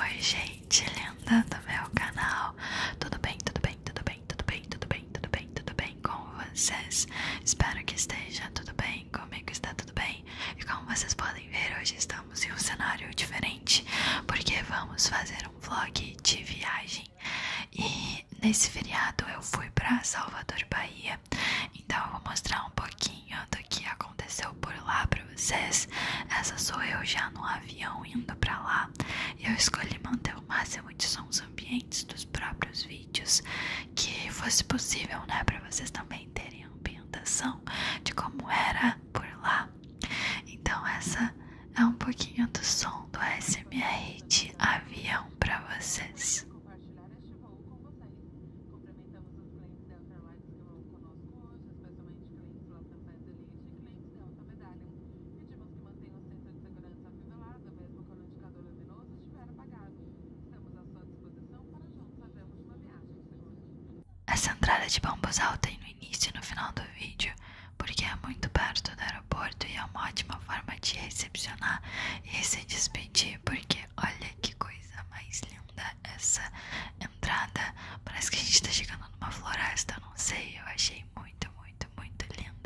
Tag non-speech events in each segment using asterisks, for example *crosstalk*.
Oi gente linda do meu canal, tudo bem, tudo bem, tudo bem, tudo bem, tudo bem, tudo bem, tudo bem com vocês? Espero que esteja tudo bem, comigo está tudo bem E como vocês podem ver, hoje estamos em um cenário diferente Porque vamos fazer um vlog de viagem E nesse feriado eu fui para Salvador, Bahia Então eu vou mostrar um pouquinho do que aconteceu por lá para vocês. Essa sou eu já no avião indo para lá. E eu escolhi manter o máximo de sons ambientes dos próprios vídeos que fosse possível, né? para vocês também terem a ambientação de como era por lá. Então, essa é um pouquinho do som do SMR de avião para vocês. Essa entrada de bambuzal tem no início e no final do vídeo, porque é muito perto do aeroporto e é uma ótima forma de recepcionar e se despedir, porque olha que coisa mais linda essa é entrada. Parece que a gente está chegando numa floresta, eu não sei. Eu achei muito, muito, muito linda.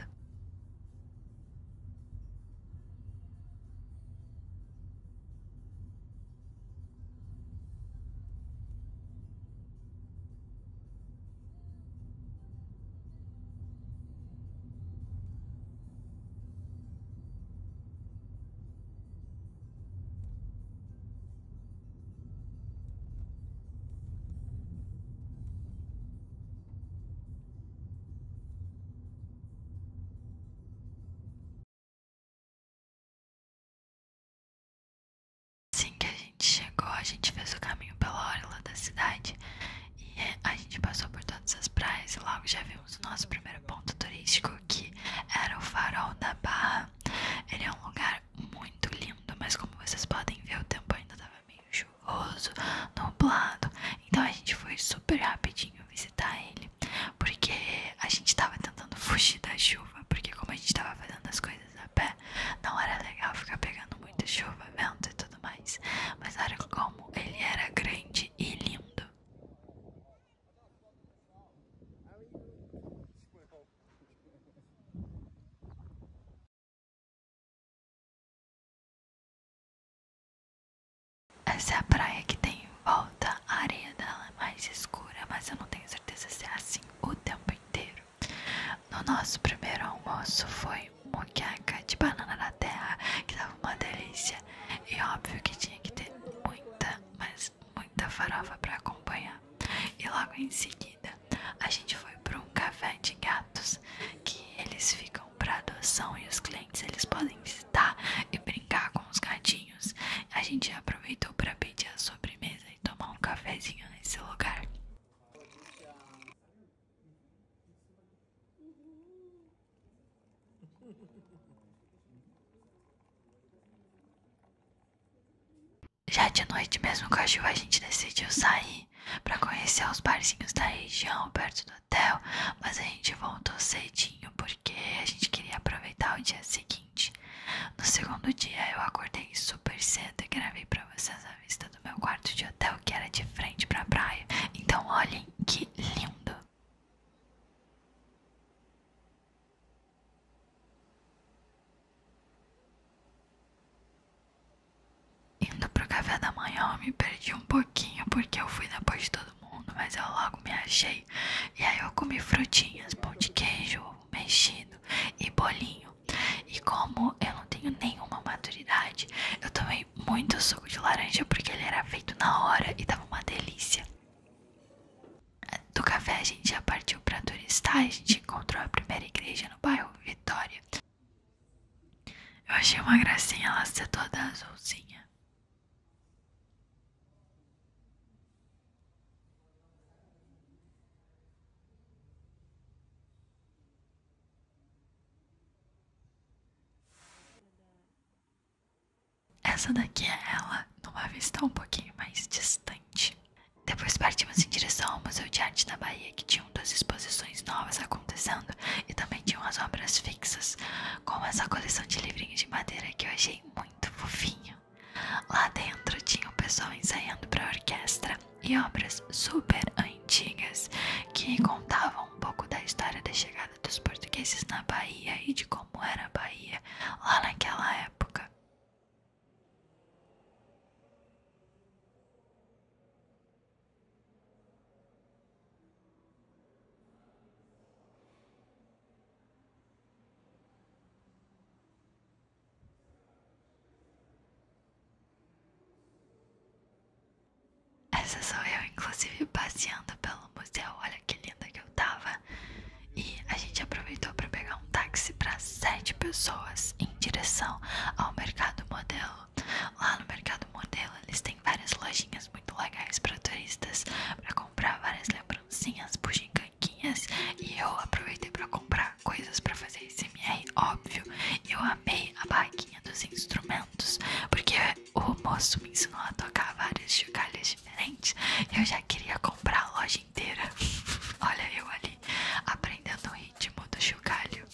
Assim que a gente chegou, a gente fez o caminho pela orla da cidade e é, a gente passou por todas as praias e logo já vimos o nosso primeiro ponto turístico que era o farol da Barra ele é um lugar muito lindo, mas como vocês podem ver, o tempo ainda estava meio chuvoso, nublado. Então a gente foi super rapidinho visitar ele, porque a gente estava tentando fugir da chuva, porque como a gente estava fazendo as coisas a pé, não era legal ficar pegando muita chuva, vento e tudo mais. Mas olha como ele era grande e lindo. Essa é a praia que tem em volta. A areia dela é mais escura, mas eu não tenho certeza se é assim o tempo inteiro. No nosso primeiro almoço foi moqueca de banana na terra, que tava uma delícia. E óbvio que tinha que ter muita, mas muita farofa para acompanhar. E logo em seguida, a gente foi para um café de gatos que eles ficam para adoção e os clientes eles podem visitar e brincar com os gatinhos. A gente aproveitou para pedir a sobremesa e tomar um cafezinho nesse lugar. Já de noite mesmo com a chuva a gente decidiu sair para conhecer os barzinhos da região perto do hotel, mas a gente voltou cedinho porque a gente queria aproveitar o dia seguinte. No segundo dia eu acordei super cedo e gravei para vocês a vista do meu quarto de hotel que era de frente para a praia. Então olhem que lindo. Indo pro café da manhã, eu me perdi um pouquinho porque eu fui depois de todo mundo, mas eu logo me achei. E aí eu comi frutinhas, pão de queijo, ovo mexido e bolinho. E como eu não tenho nenhuma maturidade, eu tomei muito suco de laranja porque ele era feito na hora e tava uma delícia do café a gente já partiu para turistar, a gente encontrou a primeira igreja no bairro Vitória. Eu achei uma gracinha ela ser toda azulzinha. Essa daqui é ela numa vista um pouquinho mais distante. Depois partimos em direção ao Museu de Arte da Bahia, que tinha umas exposições novas acontecendo e também tinha umas obras fixas, como essa coleção de livrinhos de madeira que eu achei muito fofinho. Lá dentro tinha o pessoal ensaiando para a orquestra e obras super antigas que contavam um pouco da história da chegada dos portugueses na Bahia e de como era a Bahia lá naquela época. Essa sou eu, inclusive, passeando pelo museu. Olha que linda que eu tava. E a gente aproveitou para pegar um táxi para sete pessoas em direção ao Mercado Modelo. Lá no Mercado Modelo eles têm várias lojinhas muito legais para turistas, para comprar várias lembrancinhas, bugiganguinhas. E eu aproveitei para comprar coisas para fazer SMR, óbvio. eu amei a barraquinha dos instrumentos, porque o moço me ensinou a tocar várias chocalhas diferentes. Eu já queria comprar a loja inteira. *laughs* Olha eu ali, aprendendo o ritmo do chocalho.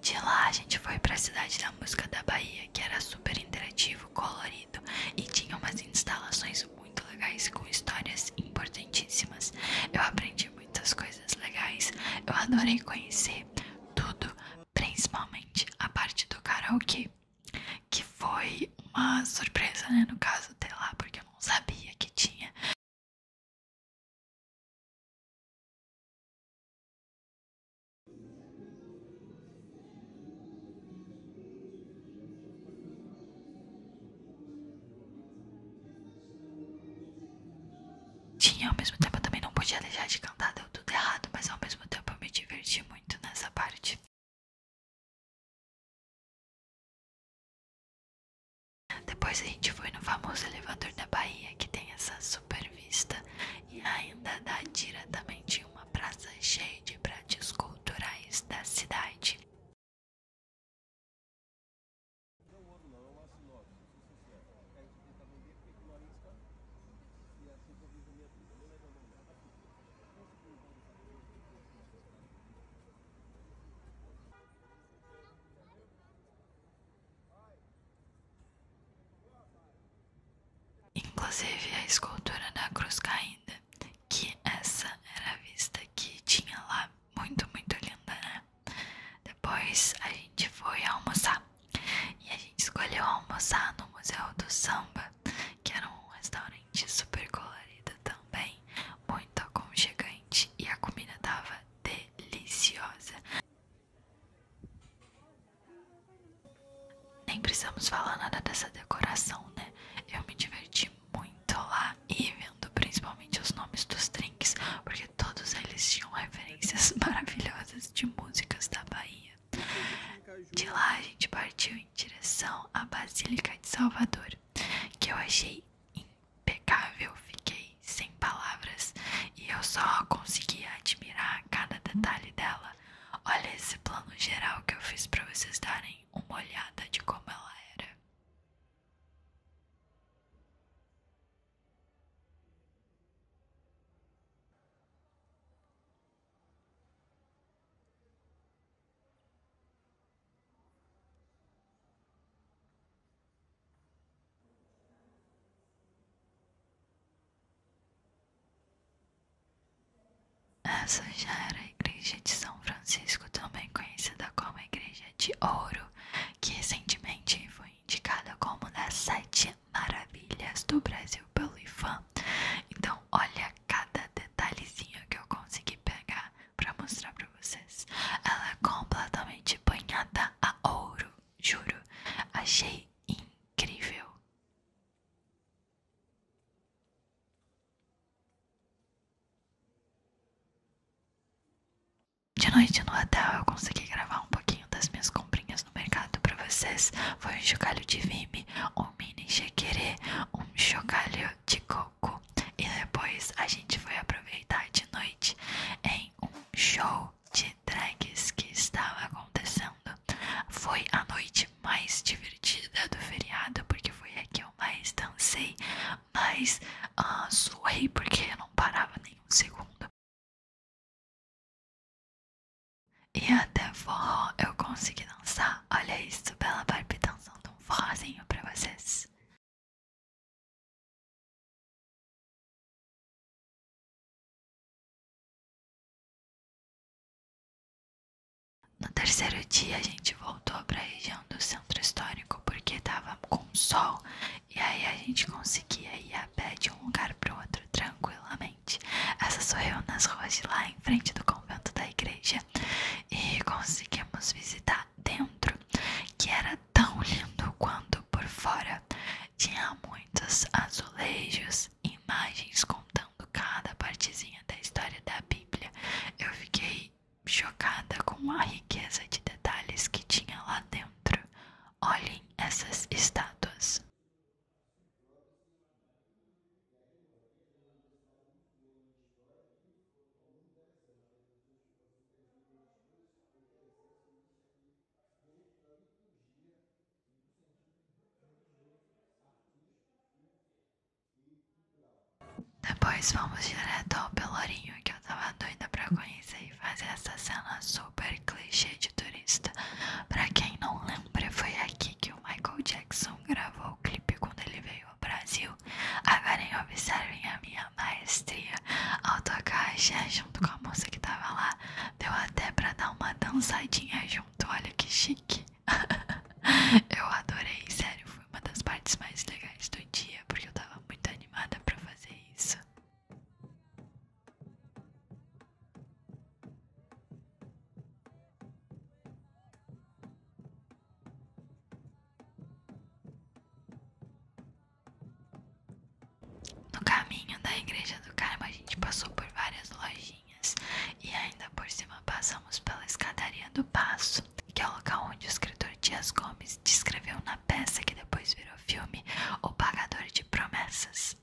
De lá a gente foi para a cidade da música da Bahia, que era super interativo, colorido e tinha umas instalações muito legais com histórias importantíssimas. Eu aprendi muitas coisas legais, eu adorei conhecer tudo principalmente a parte do karaokê, que foi uma surpresa, né? No caso, até lá, porque eu não sabia que tinha tinha, ao mesmo tempo também não podia deixar de cantar, deu tudo errado, mas ao mesmo tempo eu me diverti muito nessa parte. Depois a gente foi no famoso elevador da Bahia, que tem essa super vista e ainda dá também tinha uma praça cheia de pratos culturais da cidade. Inclusive a escultura da cruz caída, que essa era a vista que tinha lá, muito, muito linda, né? Depois a gente foi almoçar. E a gente escolheu almoçar no Museu do Samba, que era um restaurante super colorido também, muito aconchegante e a comida tava deliciosa. Nem precisamos falar nada dessa decoração, né? Eu me diverti muito lá e vendo principalmente os nomes dos drinks, porque todos eles tinham referências *laughs* maravilhosas de músicas da Bahia. De lá a gente partiu em direção à Basílica de Salvador, que eu achei impecável, fiquei sem palavras e eu só conseguia admirar cada detalhe dela. Olha esse plano geral que eu fiz para vocês darem uma olhada de como ela era. Essa já era a igreja de São Francisco, também conhecida como a Igreja de Ouro, que recentemente foi indicada como das sete maravilhas do Brasil pelo IFAM. Então, olha cada detalhezinho que eu consegui pegar para mostrar para vocês. Ela é completamente banhada a ouro, juro. Achei incrível. De noite no hotel eu consegui gravar um pouquinho das minhas comprinhas no mercado para vocês foi um chocalho de vime, um mini chequerê, um chocalho de coco e depois a gente foi aproveitar de noite em um show de drags que estava acontecendo. Foi a noite mais divertida do feriado porque foi a que eu mais dancei, mais ah, suei porque não parava nem um segundo. E até forró eu consegui dançar. Olha isso, Bela Barbie dançando um forrozinho pra vocês. No terceiro dia a gente voltou para a região do centro histórico porque tava com sol e aí a gente conseguia ir a pé de um lugar para outro tranquilamente. Essa sorriu nas ruas de lá em frente do convento da igreja. E conseguimos visitar dentro, que era tão lindo quanto por fora. Tinha muitos azulejos, imagens contando cada partezinha da história da Bíblia. Eu fiquei chocada com a riqueza de detalhes que tinha lá dentro. Olhem essas estátuas. Depois vamos direto ao Pelourinho, que eu tava doida para conhecer e fazer essa cena super clichê de turista. Para quem não lembra, lembra, foi aqui que o Michael Jackson gravou o clipe quando ele veio ao Brasil. Agora observem a minha maestria ao tocar axé junto com a moça que tava lá. Deu até pra dar uma dançadinha junto, olha que chique. *laughs* eu adorei, sério, foi uma das partes mais legais do dia, porque eu tava muito animada pra fazer isso. No caminho da igreja do Carmo, a gente passou por várias lojinhas e ainda por cima passamos pela escadaria do Passo, que é o local onde o escritor Dias Gomes descreveu na peça que depois virou filme O Pagador de Promessas.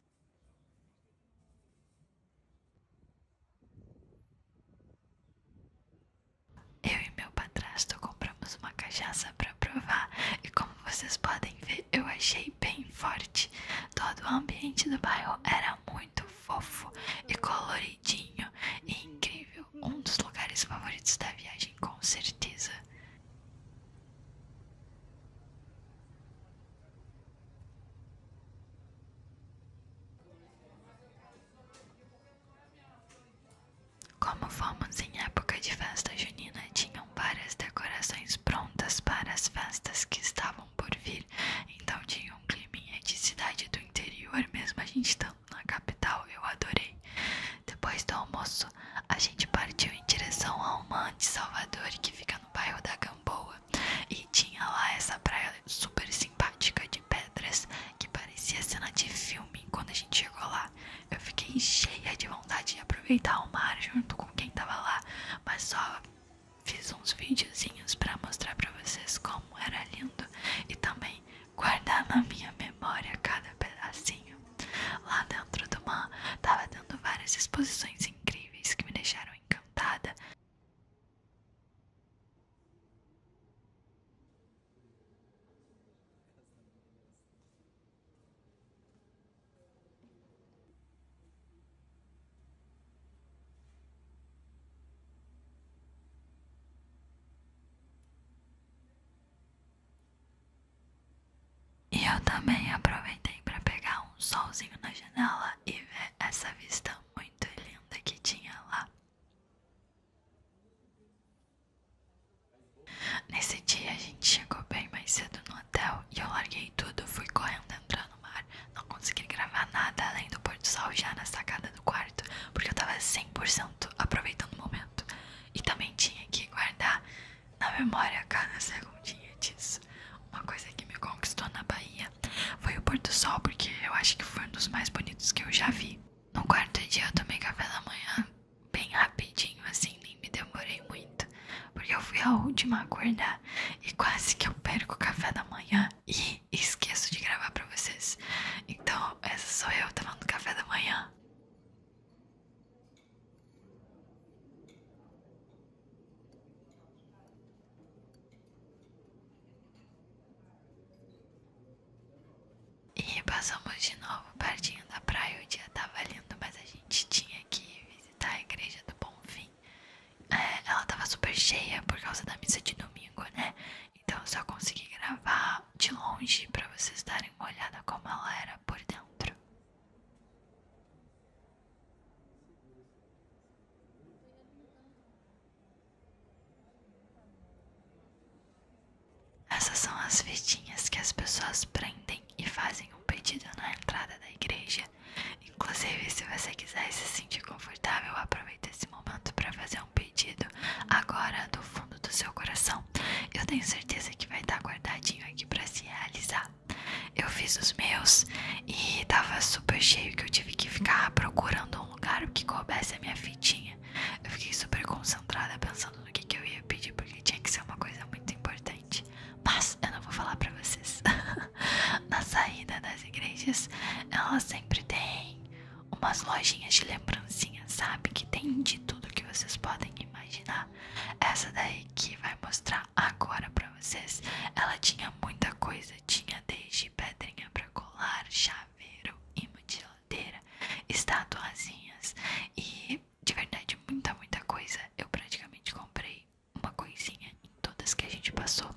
Eu e meu padrasto compramos uma cachaça para provar e como vocês podem ver eu achei bem forte. Todo o ambiente do bairro era muito fofo e coloridinho e incrível. Um dos lugares favoritos da viagem com certeza. Como fomos em época de festa junina, tinham várias decorações prontas para as festas que estavam por vir, então tinha um clima de cidade do interior, mesmo a gente estando na capital, eu adorei. Depois do almoço, a gente partiu em direção a uma de Salvador, que fica no bairro da Gama boa. E tinha lá essa praia super simpática de pedras que parecia cena de filme. Quando a gente chegou lá, eu fiquei cheia de vontade de aproveitar o mar junto com quem tava lá, mas só fiz uns videozinhos para mostrar para vocês como era lindo e também guardar na minha memória cada pedacinho. Lá dentro do mar tava dando várias exposições incríveis que me deixaram encantada adiantada. E eu também aproveitei para pegar um um solzinho na janela e ver essa vista muito linda que tinha lá. Nesse dia a gente chegou bem mais cedo no hotel e eu larguei tudo, fui correndo entrando no mar. Não consegui gravar nada além do porto sol já na sacada do quarto, porque eu tava 100% aproveitando o momento. E também tinha que guardar na memória cada segundinha disso uma coisa que me conquistou na Bahia foi o pôr do sol, porque eu acho que foi um dos mais bonitos que eu já vi. No quarto dia eu tomei café da manhã bem rapidinho, assim, nem me demorei muito, porque eu fui a última a acordar e quase que eu perco o café da manhã e esqueço de gravar pra vocês. Então, essa sou eu tomando café da manhã. E passamos de novo o pertinho da praia, o dia tava lindo, mas a gente tinha que visitar a igreja do Bonfim. É, ela tava super cheia por causa da missa de domingo, né? Então eu só consegui gravar de longe pra vocês darem uma olhada como ela era por dentro. Essas são as fitinhas que as pessoas prendem e fazem um pedido na entrada da igreja. Inclusive, se você quiser se sentir confortável, aproveita esse momento para fazer um pedido agora do fundo do seu coração. Eu tenho certeza que vai estar tá guardadinho aqui para se realizar. Eu fiz os meus e tava super cheio que eu tive que ficar procurando um lugar que coubesse a minha fitinha. Eu fiquei super concentrada pensando no que, que eu ia pedir, porque tinha que ser uma coisa muito importante. Mas eu não vou falar pra vocês. *laughs* Na saída das igrejas, ela sempre tem umas lojinhas de lembrancinha, sabe? Que tem de tudo que vocês podem imaginar. Essa daí que vai mostrar agora pra vocês, ela tinha muita coisa tinha desde pedrinha para colar, chaveiro e mutiladeira, e de verdade muita, muita coisa. Eu praticamente comprei uma coisinha em todas que a gente passou.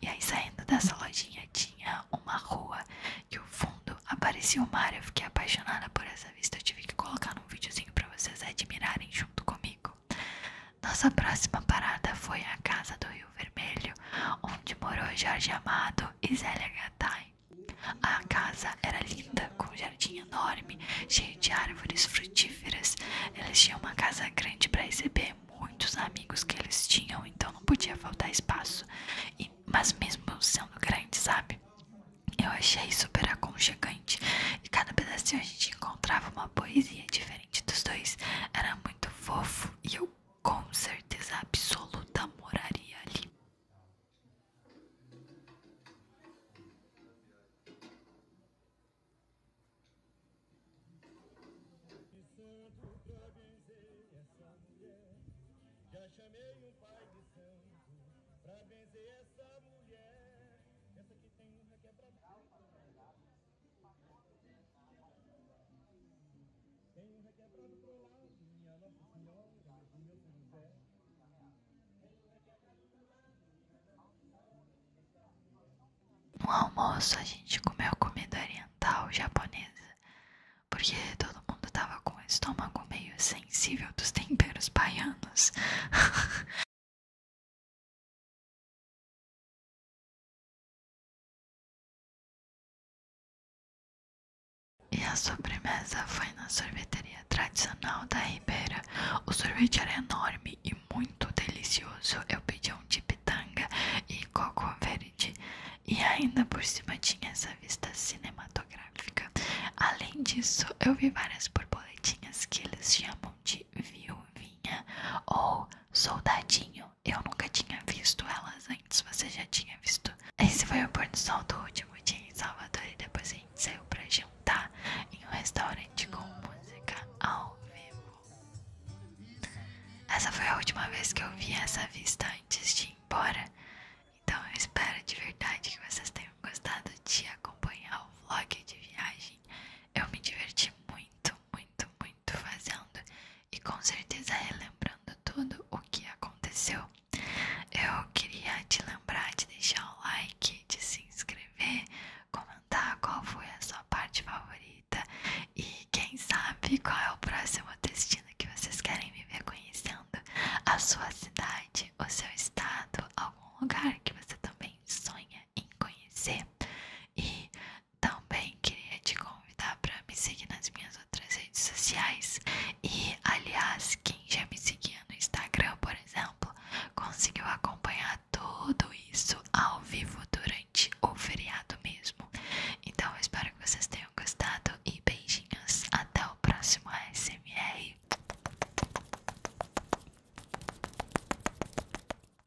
E aí saindo dessa lojinha tinha uma rua e o fundo aparecia o mar. Eu fiquei apaixonada por essa vista. Eu tive que colocar num videozinho para vocês admirarem junto comigo. Nossa próxima parada foi a casa do Rio Vermelho, onde morou Jorge Amado e Zélia Gattai. A casa era linda, com um jardim enorme, cheio de árvores frutíferas. Eles tinham uma casa grande para receber muitos amigos que eles tinham, então não podia faltar espaço. mas mesmo sendo grande, sabe? Eu achei super aconchegante. E cada pedacinho a gente encontrava uma poesia diferente dos dois. Era muito fofo e eu com certeza absoluta moraria ali. Já chamei um pai de santo pra vencer essa mulher. Essa que tem um raquete pra no almoço a gente comeu comida oriental japonesa, porque todo mundo tava com o estômago meio sensível dos temperos baianos. *laughs* E a sobremesa foi na sorveteria tradicional da Ribeira. O sorvete era enorme e muito delicioso. Eu pedi um de pitanga e coco verde. E ainda por cima tinha essa vista cinematográfica. Além disso, eu vi várias borboletinhas que eles chamam de viuvinha ou soldadinho. Eu nunca tinha visto elas antes, você já tinha visto. Esse foi o pôr do sol do último dia em Salvador e depois a gente saiu pra jantar em um restaurante com música ao vivo. Essa foi a última vez que eu vi essa vista antes de ir embora. Então eu espero de verdade que vocês tenham gostado de acompanhar o vlog de viagem. Eu me diverti muito, muito, muito muito fazendo e com certeza relembrando tudo o que aconteceu. Eu queria te lembrar de deixar o like, de se inscrever, comentar qual foi a sua parte favorita e quem sabe qual é o próximo destino que vocês querem viver conhecendo a sua cidade, o seu estado, algum lugar que você também sonha em conhecer. E também queria te convidar para me seguir nas minhas outras redes sociais. E, aliás, quem já me seguia no Instagram, por exemplo, conseguiu acompanhar tudo isso ao vivo durante o feriado mesmo. Então, eu espero que vocês tenham gostado e beijinhos. Até o próximo ASMR.